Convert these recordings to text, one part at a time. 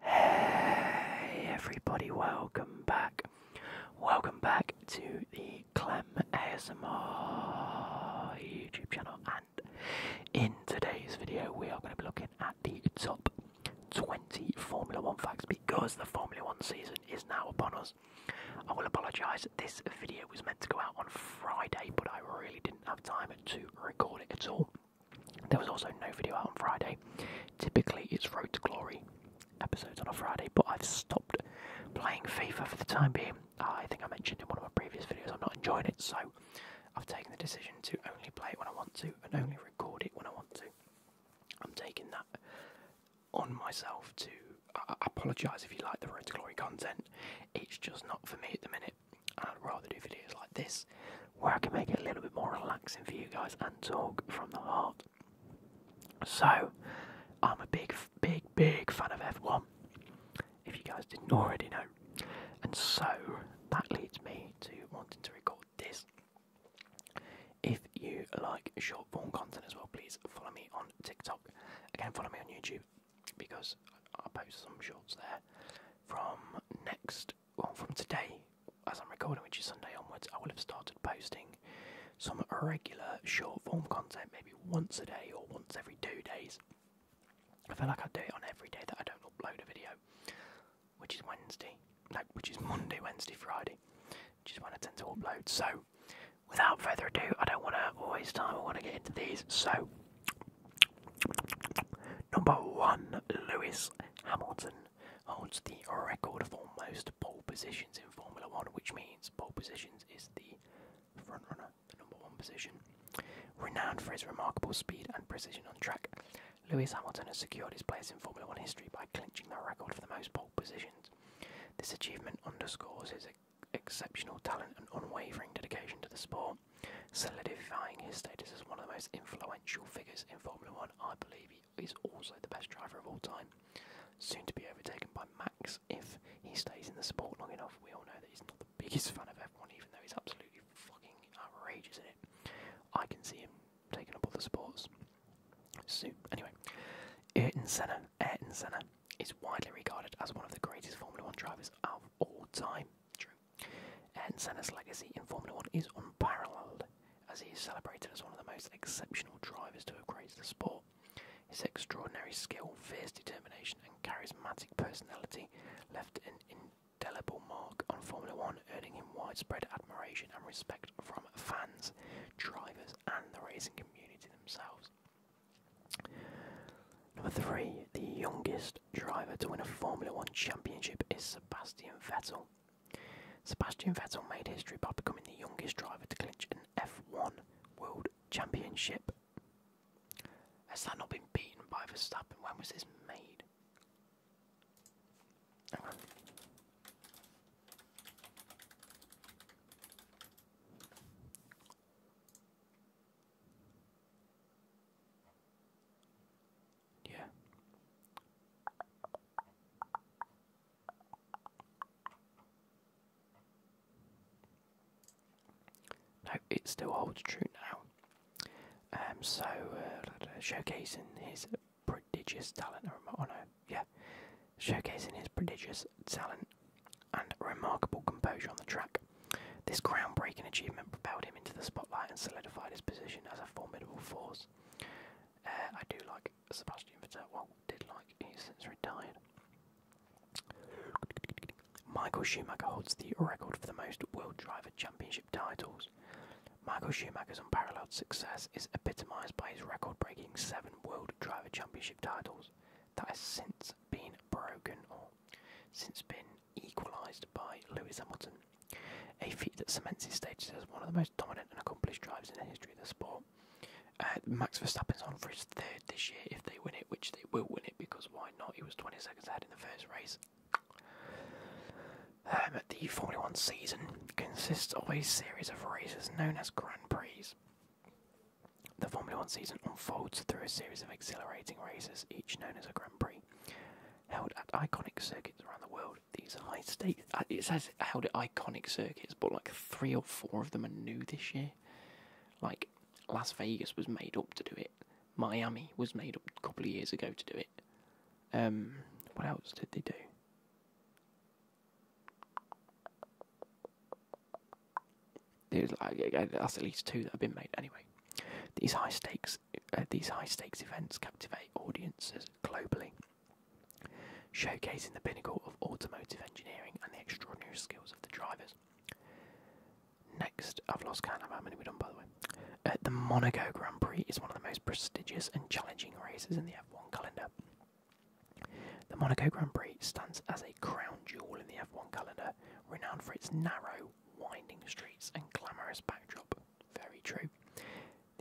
Hey everybody, welcome back. Welcome back to the Clem ASMR YouTube channel and in today's video we are going to be looking at the top 20 Formula 1 facts because the Formula 1 season is now upon us. I will apologise, this video was meant to go out on Friday but I really didn't have time to record it at all. There was also no video out on Friday. Typically, it's Road to Glory episodes on a Friday, but I've stopped playing FIFA for the time being. Uh, I think I mentioned in one of my previous videos I'm not enjoying it, so I've taken the decision to only play it when I want to and only record it when I want to. I'm taking that on myself to. I uh, apologise if you like the Road to Glory content, it's just not for me at the minute. I'd rather do videos like this where I can make it a little bit more relaxing for you guys and talk from the heart. So, I'm a big, big, big fan of F1, if you guys didn't already know. And so, that leads me to wanting to record this. If you like short form content as well, please follow me on TikTok. Again, follow me on YouTube because I post some shorts there from next well, from today, as I'm recording, which is Sunday onwards, I will have started posting some regular short form content, maybe once a day or once every two days. I feel like I do it on every day that I don't upload a video, which is Wednesday, no, which is Monday, Wednesday, Friday, which is when I tend to upload. So, without further ado, I don't want to waste time, I want to get into these. So, number one, Lewis Hamilton holds the record for most pole positions in Formula One, which means pole positions is the front runner, the number one position. Renowned for his remarkable speed and precision on track, Lewis Hamilton has secured his place in Formula One history by clinching the record for the most pole positions. This achievement underscores his exceptional talent and unwavering dedication to the sport, solidifying his status as one of the most influential figures in Formula One. I believe he is also the best driver of all time, soon to be overtaken by Max if he stays in the sport long enough. We all know that he's not the biggest fan of F1, even though he's absolutely fucking outrageous in it. I can see him taking up all the sports soon. Anyway, Ayrton Senna, Ayrton Senna is widely regarded as one of the greatest Formula One drivers of all time. True. Ayrton Senna's legacy in Formula One is unparalleled as he is celebrated as one of the most exceptional drivers to have graced the sport. His extraordinary skill, fierce determination, and charismatic personality left an indelible mark on Formula One, earning him widespread admiration and respect from fans, drivers, and the racing community themselves. Number three, the youngest driver to win a Formula One championship is Sebastian Vettel, Sebastian Vettel made history by becoming the youngest driver to clinch an F1 World Championship. Has that not been beaten by Verstappen? When was this made? Yeah. No, it still holds true now. Um, so, uh, showcasing his prodigious talent. Oh, oh no, yeah. Showcasing his prodigious talent and remarkable composure on the track. This groundbreaking achievement propelled him into the spotlight and solidified his position as a formidable force. Uh, I do like Sebastian Vettel. Well, did like he's since retired. Michael Schumacher holds the record for the most World Driver Championship titles. Michael Schumacher's unparalleled success is epitomised by his record-breaking seven World Driver Championship titles that has since been broken or since been equalised by Lewis Hamilton a feat that cements his status as one of the most dominant and accomplished drivers in the history of the sport. Max Verstappen is on for his third this year if they win it, which they will win it because why not? He was 20 seconds ahead in the first race. Um, the Formula One season consists of a series of races known as Grand Prix. The Formula One season unfolds through a series of exhilarating races, each known as a Grand Prix held at iconic circuits around the world. These high stakes, uh, it says held at iconic circuits, but like three or four of them are new this year. Like Las Vegas was made up to do it, Miami was made up a couple of years ago to do it. Um, what else did they do? There's uh, that's at least two that have been made anyway. These high stakes, uh, these high stakes events captivate audiences globally showcasing the pinnacle of automotive engineering and the extraordinary skills of the drivers. Next, I've lost count of how many we've done by the way. Uh, the Monaco Grand Prix is one of the most prestigious and challenging races in the F1 calendar. The Monaco Grand Prix stands as a crown jewel in the F1 calendar, renowned for its narrow, winding streets and glamorous backdrop. Very true.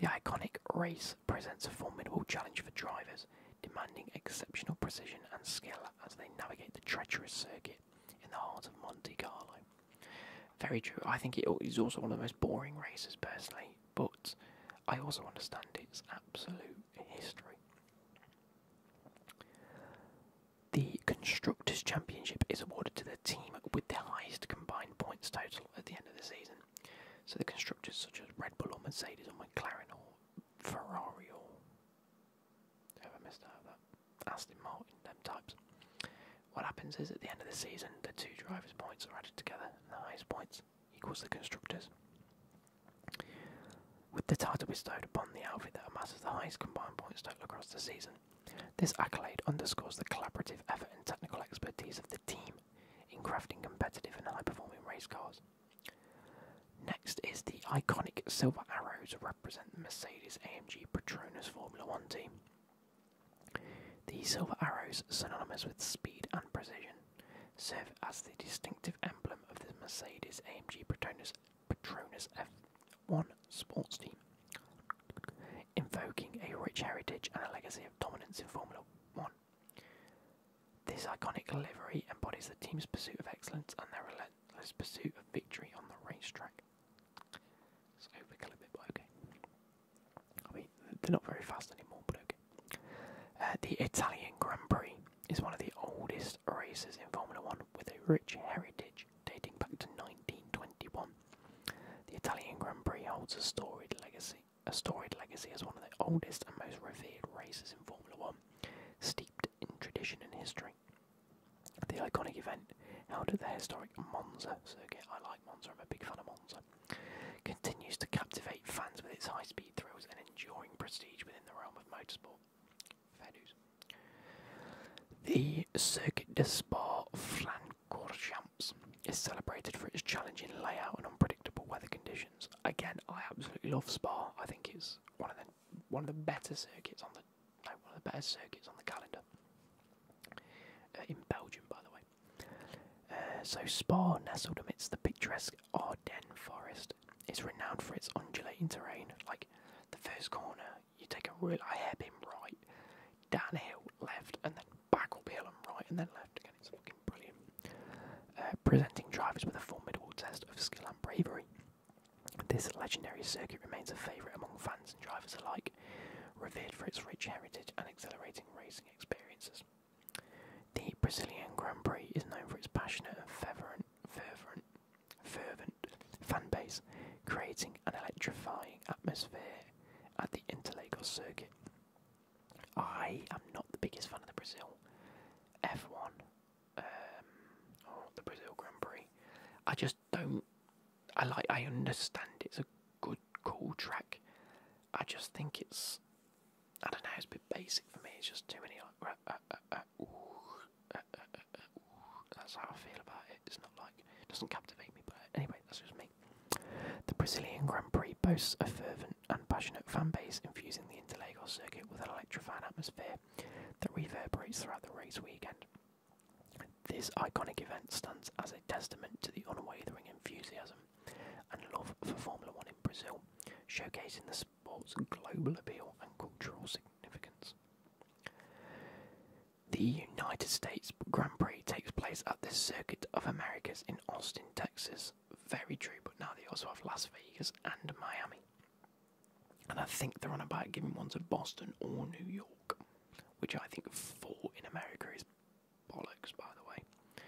The iconic race presents a formidable challenge for drivers, demanding exceptional precision and skill as they navigate the treacherous circuit in the heart of Monte Carlo. Very true. I think it is also one of the most boring races, personally, but I also understand its absolute history. The Constructors' Championship is awarded to the team with the highest combined points total at the end of the season. So the constructors such as Red Bull or Mercedes or McLaren or Ferrari or Aston Martin, them types. What happens is at the end of the season, the two drivers' points are added together, and the highest points equals the constructors. With the title bestowed upon the outfit that amasses the highest combined points total across the season, this accolade underscores the collaborative effort and technical expertise of the team in crafting competitive and high performing race cars. Next is the iconic silver arrow to represent the Mercedes AMG Petronas Formula One team. The silver arrows, synonymous with speed and precision, serve as the distinctive emblem of the Mercedes AMG Petronas, Petronas F1 sports team, invoking a rich heritage and a legacy of dominance in Formula One. This iconic livery embodies the team's pursuit of excellence and their relentless pursuit of victory on the racetrack. It's overkill a bit, but okay. I mean, they're not very fast anymore, but okay. Uh, the Italian Grand Prix is one of the oldest races in Formula One with a rich heritage dating back to 1921. The Italian Grand Prix holds a storied legacy a storied legacy as one of the oldest and most revered races in Formula One, steeped in tradition and history. The iconic event, held at the historic Monza circuit, I like Monza, I'm a big fan of Monza, continues to captivate fans with its high speed thrills and enduring prestige within the realm of motorsport. The Circuit de Spa Flanders. Courchamps is celebrated for its challenging layout and unpredictable weather conditions. Again, I absolutely love Spa. I think it's one of the one of the better circuits on the no, one of the better circuits on the calendar uh, in Belgium, by the way. Uh, so Spa, nestled amidst the picturesque Ardennes forest, is renowned for its undulating terrain. Like the first corner, you take a real a hairpin right, downhill left, and then back up hill and right, and then left. again it's fucking brilliant. Uh, presenting drivers with a formidable test of skill and bravery. This legendary circuit remains a favourite among fans and drivers alike, revered for its rich heritage and exhilarating racing experiences. The Brazilian Grand Prix is known for its passionate and fervent, fervent, fervent fan base, creating an electrifying atmosphere at the Interlagos circuit. I am not the biggest fan of the Brazil F1 um, or the Brazil Grand Prix. I just don't. I like. I understand it's a good, cool track. I just think it's. I don't know. It's a bit basic for me. It's just too many. That's how I feel about it. It's not like it doesn't captivate me. But anyway, that's just me. The Brazilian Grand Prix boasts a fervent fervent and passionate fan base infusing the Interlagos circuit with an electrifying atmosphere that reverberates throughout the race weekend. This iconic event stands as a testament to the unwavering enthusiasm and love for Formula One in Brazil, showcasing the sport's global appeal and cultural significance. The United States Grand Prix takes place at the Circuit of Americas in Austin, Texas, very true, but now they also have Las Vegas and Miami. And I think they're on about giving one to Boston or New York, which I think four in America is bollocks, by the way.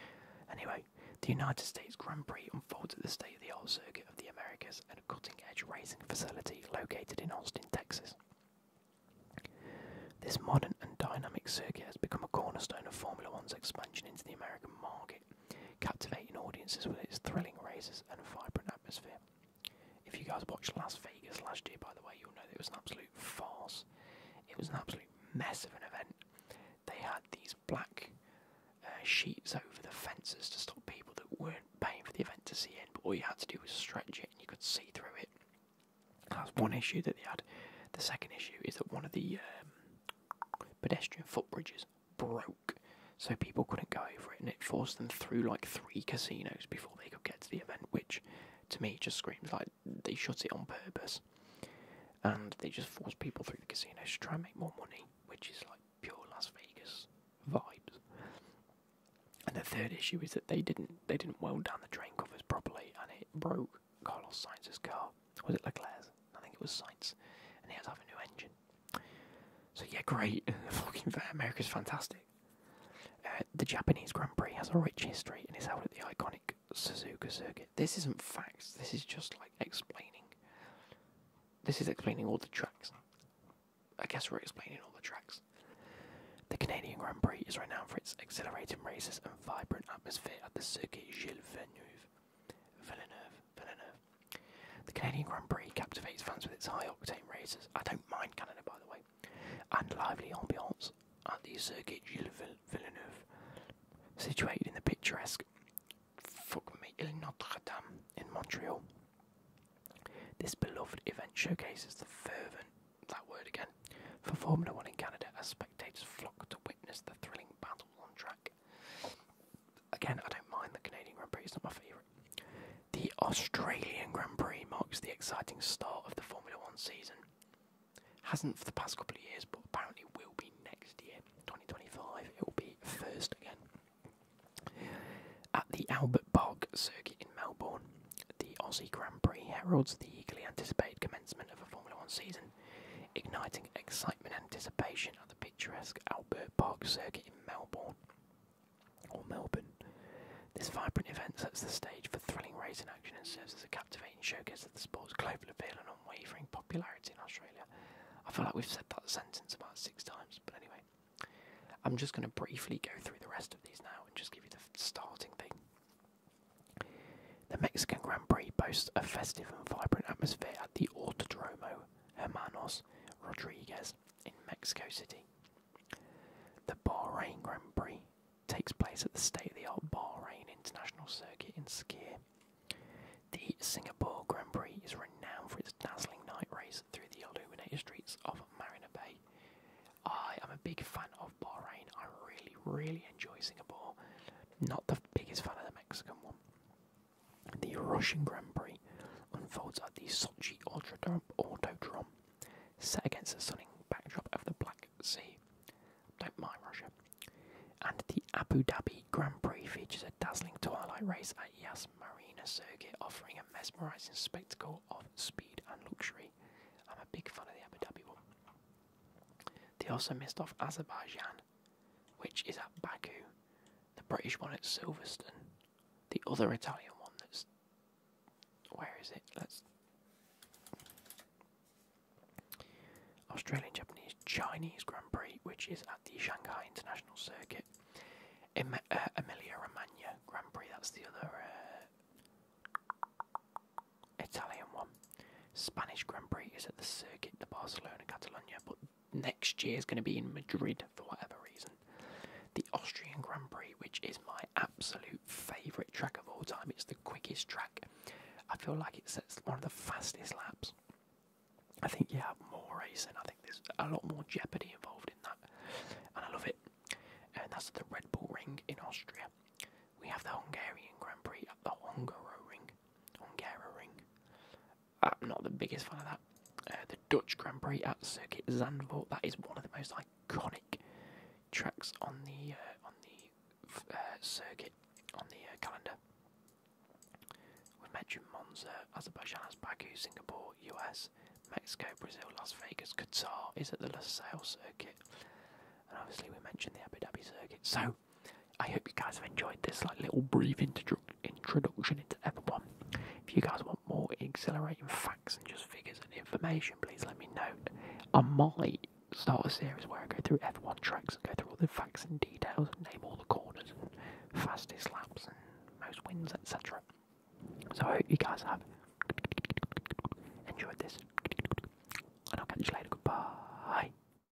Anyway, the United States Grand Prix unfolds at the state of the art circuit of the Americas a cutting edge racing facility located in Austin, Texas. This modern and dynamic circuit has become a cornerstone of Formula One's expansion into the American market, captivating audiences with its thrilling races and vibrant atmosphere. If you guys watched Las Vegas last year, by the way, you'll know that it was an absolute farce. It was an absolute mess of an event. They had these black uh, sheets over the fences to stop people that weren't paying for the event to see in, but all you had to do was stretch it and you could see through it. That's one issue that they had. The second issue is that one of the um, Pedestrian footbridges broke, so people couldn't go over it, and it forced them through like three casinos before they could get to the event, which to me just screams like they shut it on purpose. And they just forced people through the casinos to try and make more money, which is like pure Las Vegas vibes. And the third issue is that they didn't they didn't weld down the drain covers properly, and it broke Carlos Sainz's car. Was it Leclerc's? I think it was Sainz. And he has a new engine. So yeah, great. Fucking America's fantastic. Uh, the Japanese Grand Prix has a rich history and is held at the iconic Suzuka circuit. This isn't facts. This is just like explaining. This is explaining all the tracks. I guess we're explaining all the tracks. The Canadian Grand Prix is renowned for its exhilarating races and vibrant atmosphere at the Circuit Gilles Villeneuve. Villeneuve, Villeneuve. The Canadian Grand Prix captivates fans with its high-octane races. I don't mind Canada, by the way, and lively ambiance at the Circuit Gilles Villeneuve, situated in the picturesque Notre Dame in Montreal. This beloved event showcases the fervent that word again for Formula One in Canada as spectators flock to witness the thrilling battle on track. Again, I don't mind the Canadian Grand Prix, it's not my favourite. The Australian Grand Prix marks the exciting start of the Formula One season. Hasn't for the past couple of years, but apparently will be next year, 2025. It will be first again. At the Albert Park circuit in Melbourne, the Aussie Grand Prix heralds the eagerly anticipated commencement of a Formula One season igniting excitement and anticipation at the picturesque Albert Park circuit in Melbourne or Melbourne. This vibrant event sets the stage for thrilling racing action and serves as a captivating showcase of the sport's global appeal and unwavering popularity in Australia. I feel like we've said that sentence about six times, but anyway. I'm just going to briefly go through the rest of these now and just give you the starting thing. The Mexican Grand Prix boasts a festive and vibrant atmosphere at the Autodromo Hermanos Rodriguez in Mexico City. The Bahrain Grand Prix takes place at the state of the art Bahrain International Circuit in Skir. The Singapore Grand Prix is renowned for its dazzling night race through the illuminated streets of Marina Bay. I am a big fan of Bahrain. I really, really enjoy Singapore. Not the biggest fan of the Mexican one. The Russian Grand Prix unfolds at the Sochi Autodrome, set against the stunning backdrop of the Black Sea. Don't mind Russia. And the Abu Dhabi Grand Prix features a dazzling twilight race at Yas Marina Circuit, offering a mesmerising spectacle of speed and luxury. I'm a big fan of the Abu Dhabi one. They also missed off Azerbaijan which is at Baku, the British one at Silverstone, the other Italian one that's. Where is it? Let's. Australian, Japanese, Chinese Grand Prix, which is at the Shanghai International Circuit. Uh, Emilia Romagna Grand Prix, that's the other uh, Italian one. Spanish Grand Prix is at the circuit de Barcelona, Catalonia, but next year is going to be in Madrid for whatever reason. The Austrian Grand Prix, which is my absolute favourite track of all time, it's the quickest track. I feel like it sets one of the fastest laps. I think you have more racing. I think there's a lot more jeopardy involved in that, and I love it. And that's the Red Bull Ring in Austria. We have the Hungarian Grand Prix at the Hungaro Ring on Hungaroring. I'm uh, not the biggest fan of that. Uh, the Dutch Grand Prix at Circuit Zandvoort. That is one of the most iconic tracks on the uh, on the circuit on the calendar. We have mentioned Monza, Azerbaijan, Baku, Singapore, US, Mexico, Brazil, Las Vegas, Qatar is at the LaSalle circuit, and obviously we mentioned the Abu Dhabi circuit. So I hope you guys have enjoyed this like little brief intro introduction into F1. If you guys want more exhilarating facts and just figures and information, please let me know. I might start a series where I go through F1 tracks and go through all the facts and details and name all the corners and fastest laps and most wins, etc. So I hope you guys have enjoyed this. And I'll catch you later. Goodbye.